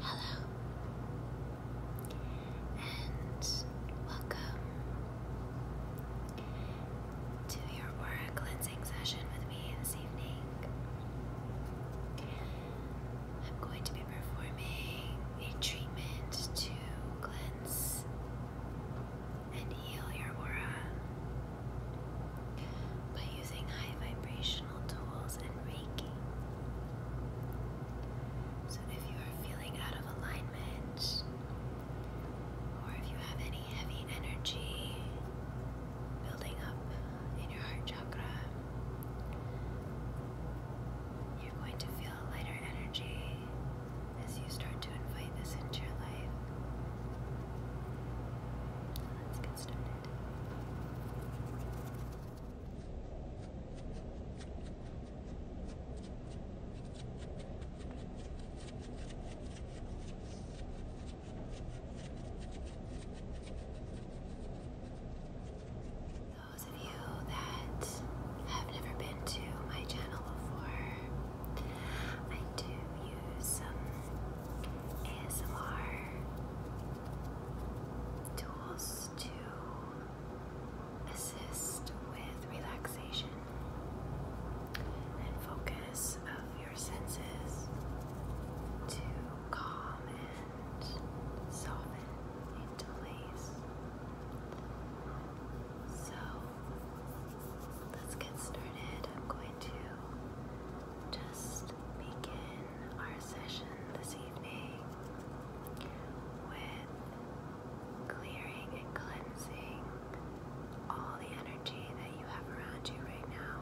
Hello, and welcome to your aura cleansing session with me this evening. I'm going to be performing a treatment to cleanse and heal your aura. But using high vibrational tools and Reiki. So, if you are feeling out of alignment, or if you have any heavy energy building up in your heart chakra, you're going to feel a lighter energy as you start to invite this into your life. Let's get started. Those of you that have never been to my channel before, I do use some ASMR tools to assist with relaxation and focus of your senses to calm and soften into place. So let's get started. I'm going to just begin our session this evening with clearing and cleansing all the energy that you have around you right now.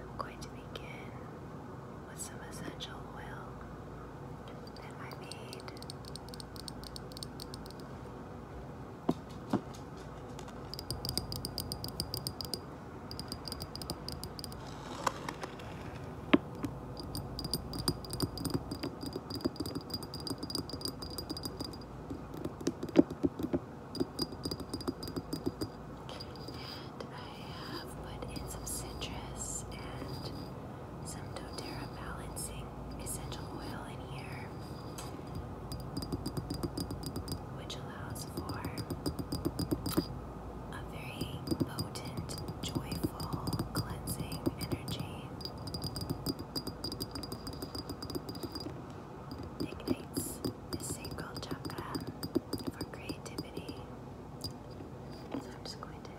I'm going to begin with some essential oil that I made. And I have put in some citrus and some doTERRA balancing essential oil in here which allows for a very potent, joyful, cleansing energy. Ignites the sacral chakra for creativity. So I'm just going to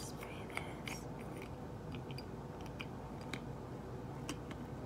spray this.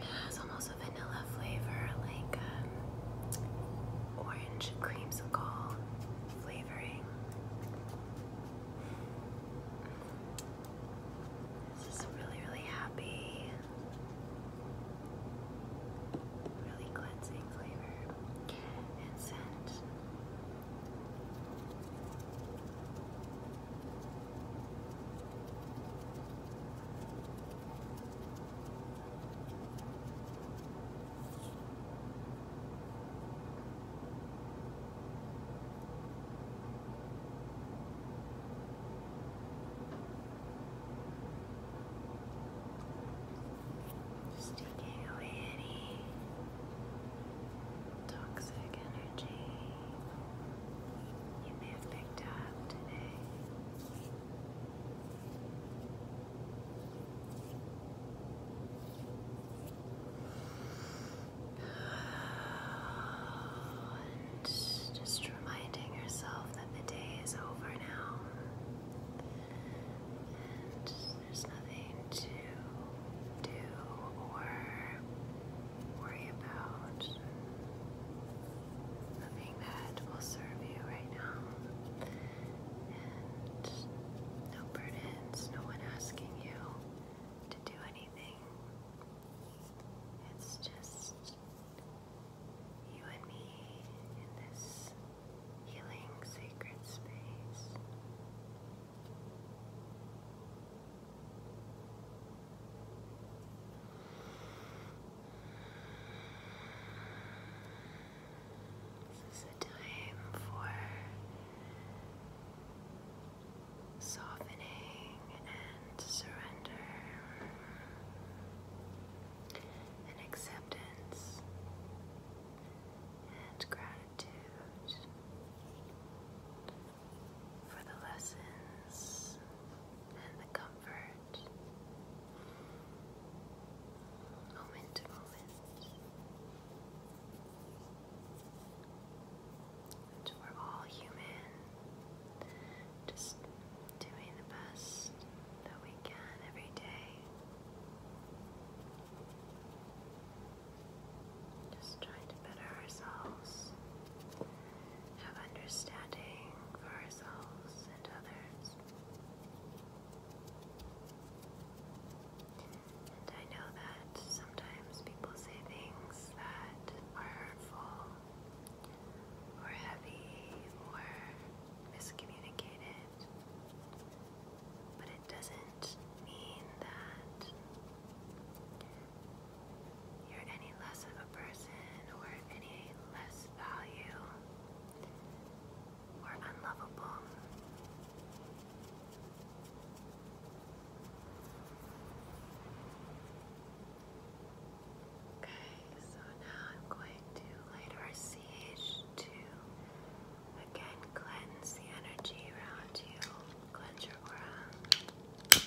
It has almost a vanilla flavor, like um, orange creamsicle flavoring. This is really, really happy really cleansing flavor and scent. Just away any toxic energy you may have picked up today. just reminding yourself that the day is over now there's nothing to do or worry about. Nothing that will serve you right now. no burdens, no one asking you to do anything. It's just you and me in this healing sacred space. This is a time for softening and surrender and acceptance and gratitude for the lessons and the comfort moment to moment we're all human just doing the best that we can every day. Just trying to better ourselves, have understanding for ourselves and others. And I know that sometimes people say things that are hurtful or heavy or miscommunicated, but it doesn't mean that you're any less of a person or any less value or unlovable. Okay, so now I'm going to light our sage to again cleanse the energy around you, cleanse your aura.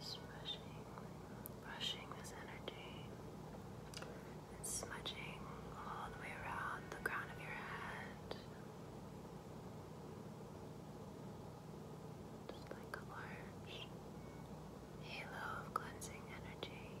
Just brushing, brushing this energy smudging all the way around the crown of your head. Just like a large halo of cleansing energy.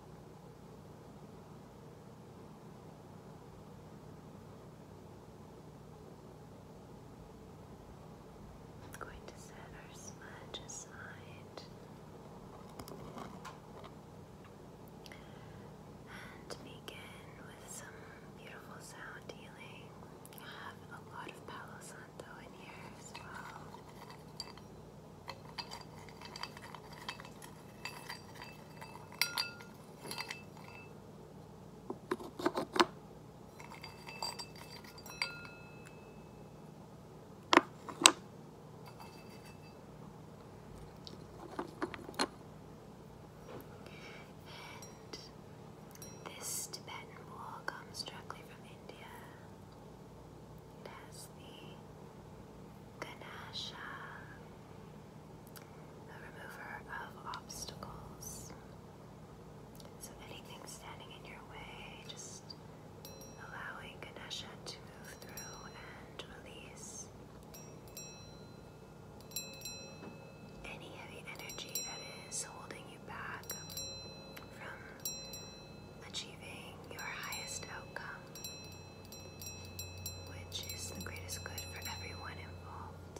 I'm going to set our smudge aside and begin with some beautiful sound healing. I have a lot of Palo Santo in here as well. And this Tibetan wool comes directly from India has the Ganasha, a remover of obstacles. So anything standing in your way, just allowing Ganesha to move through and release any heavy energy that is holding you back from achieving your highest outcome, which is the greatest good for everyone involved.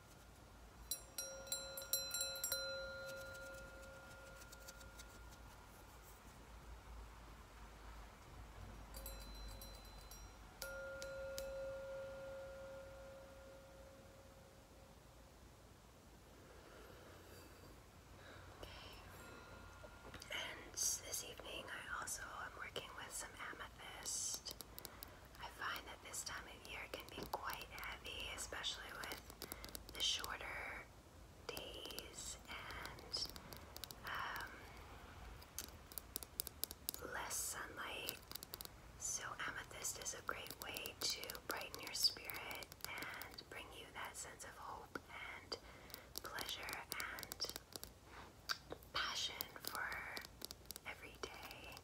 And this evening, I also am working with some amethyst. I find that this time of year can be quite heavy, especially with the shorter days and um, less sunlight. So, amethyst is a great way to brighten your spirit and bring you that sense of hope and pleasure and passion for every day.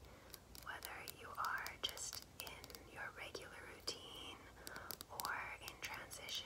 Whether you are just in your regular routine or in transition,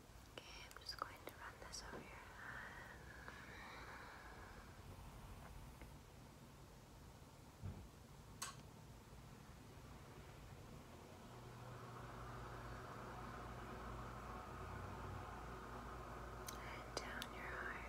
Okay, I'm just going to run this over your head. down your heart.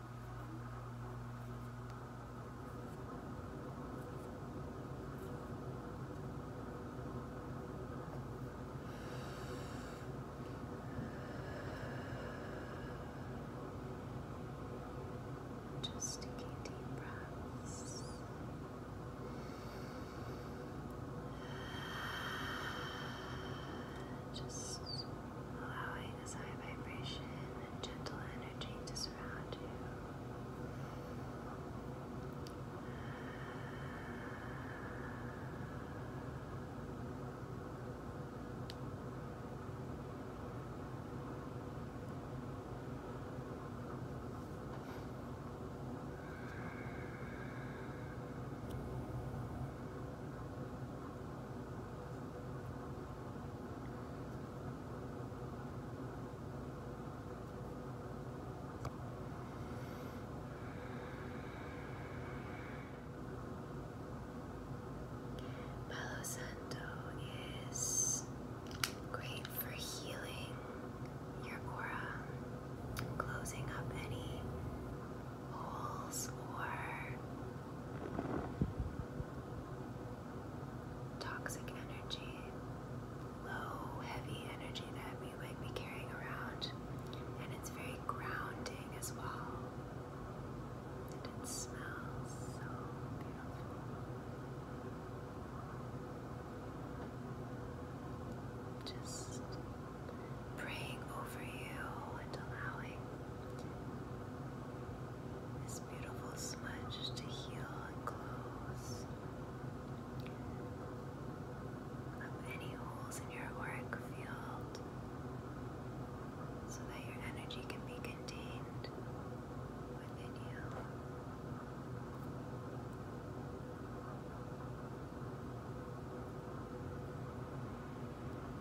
Just take deep breaths. Just allowing this high vibration and gentle energy to space around you. Now Palo Santo is great for healing your aura, closing up any holes or toxic energy, low, heavy energy that we might be carrying around, and it's very grounding as well. And it smells so beautiful. Just praying over you and allowing this beautiful smudge to heal and close up any holes in your auric field so that your energy can be contained within you.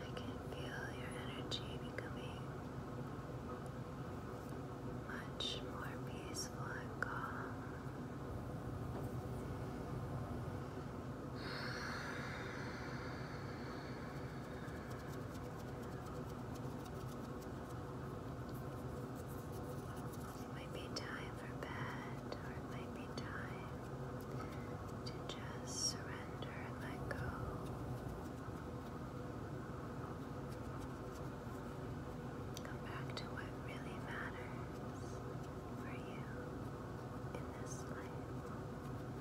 I can feel your energy becoming much more peaceful it might be time for bed, or it might be time to just surrender and let go. Come back to what really matters for you in this life.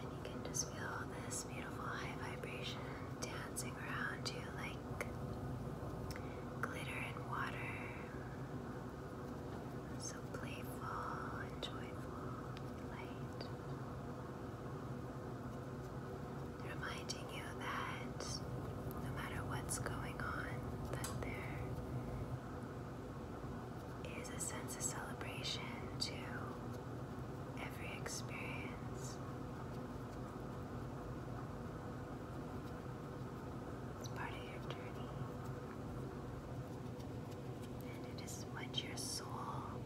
And you can just feel this beautiful high vibration dancing dancing around you like glitter and water. So playful and joyful, light. Reminding you that no matter what's going on, that there is a sense of celebration too every experience. It's part of your journey. And it is what your soul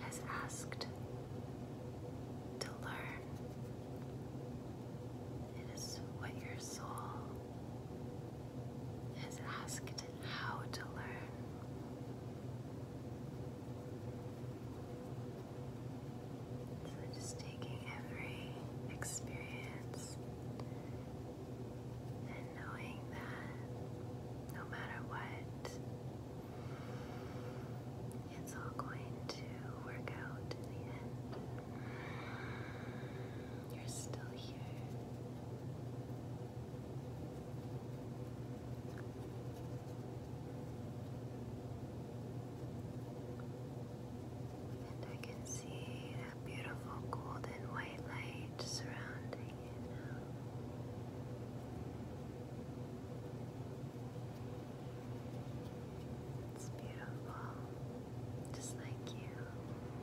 has asked to learn. It is what your soul has asked how to learn. So, just taking every experience and knowing that no matter what, it's all going to work out in the end. You're still here. And I can see that beautiful golden white light surrounding you It's beautiful, just like you.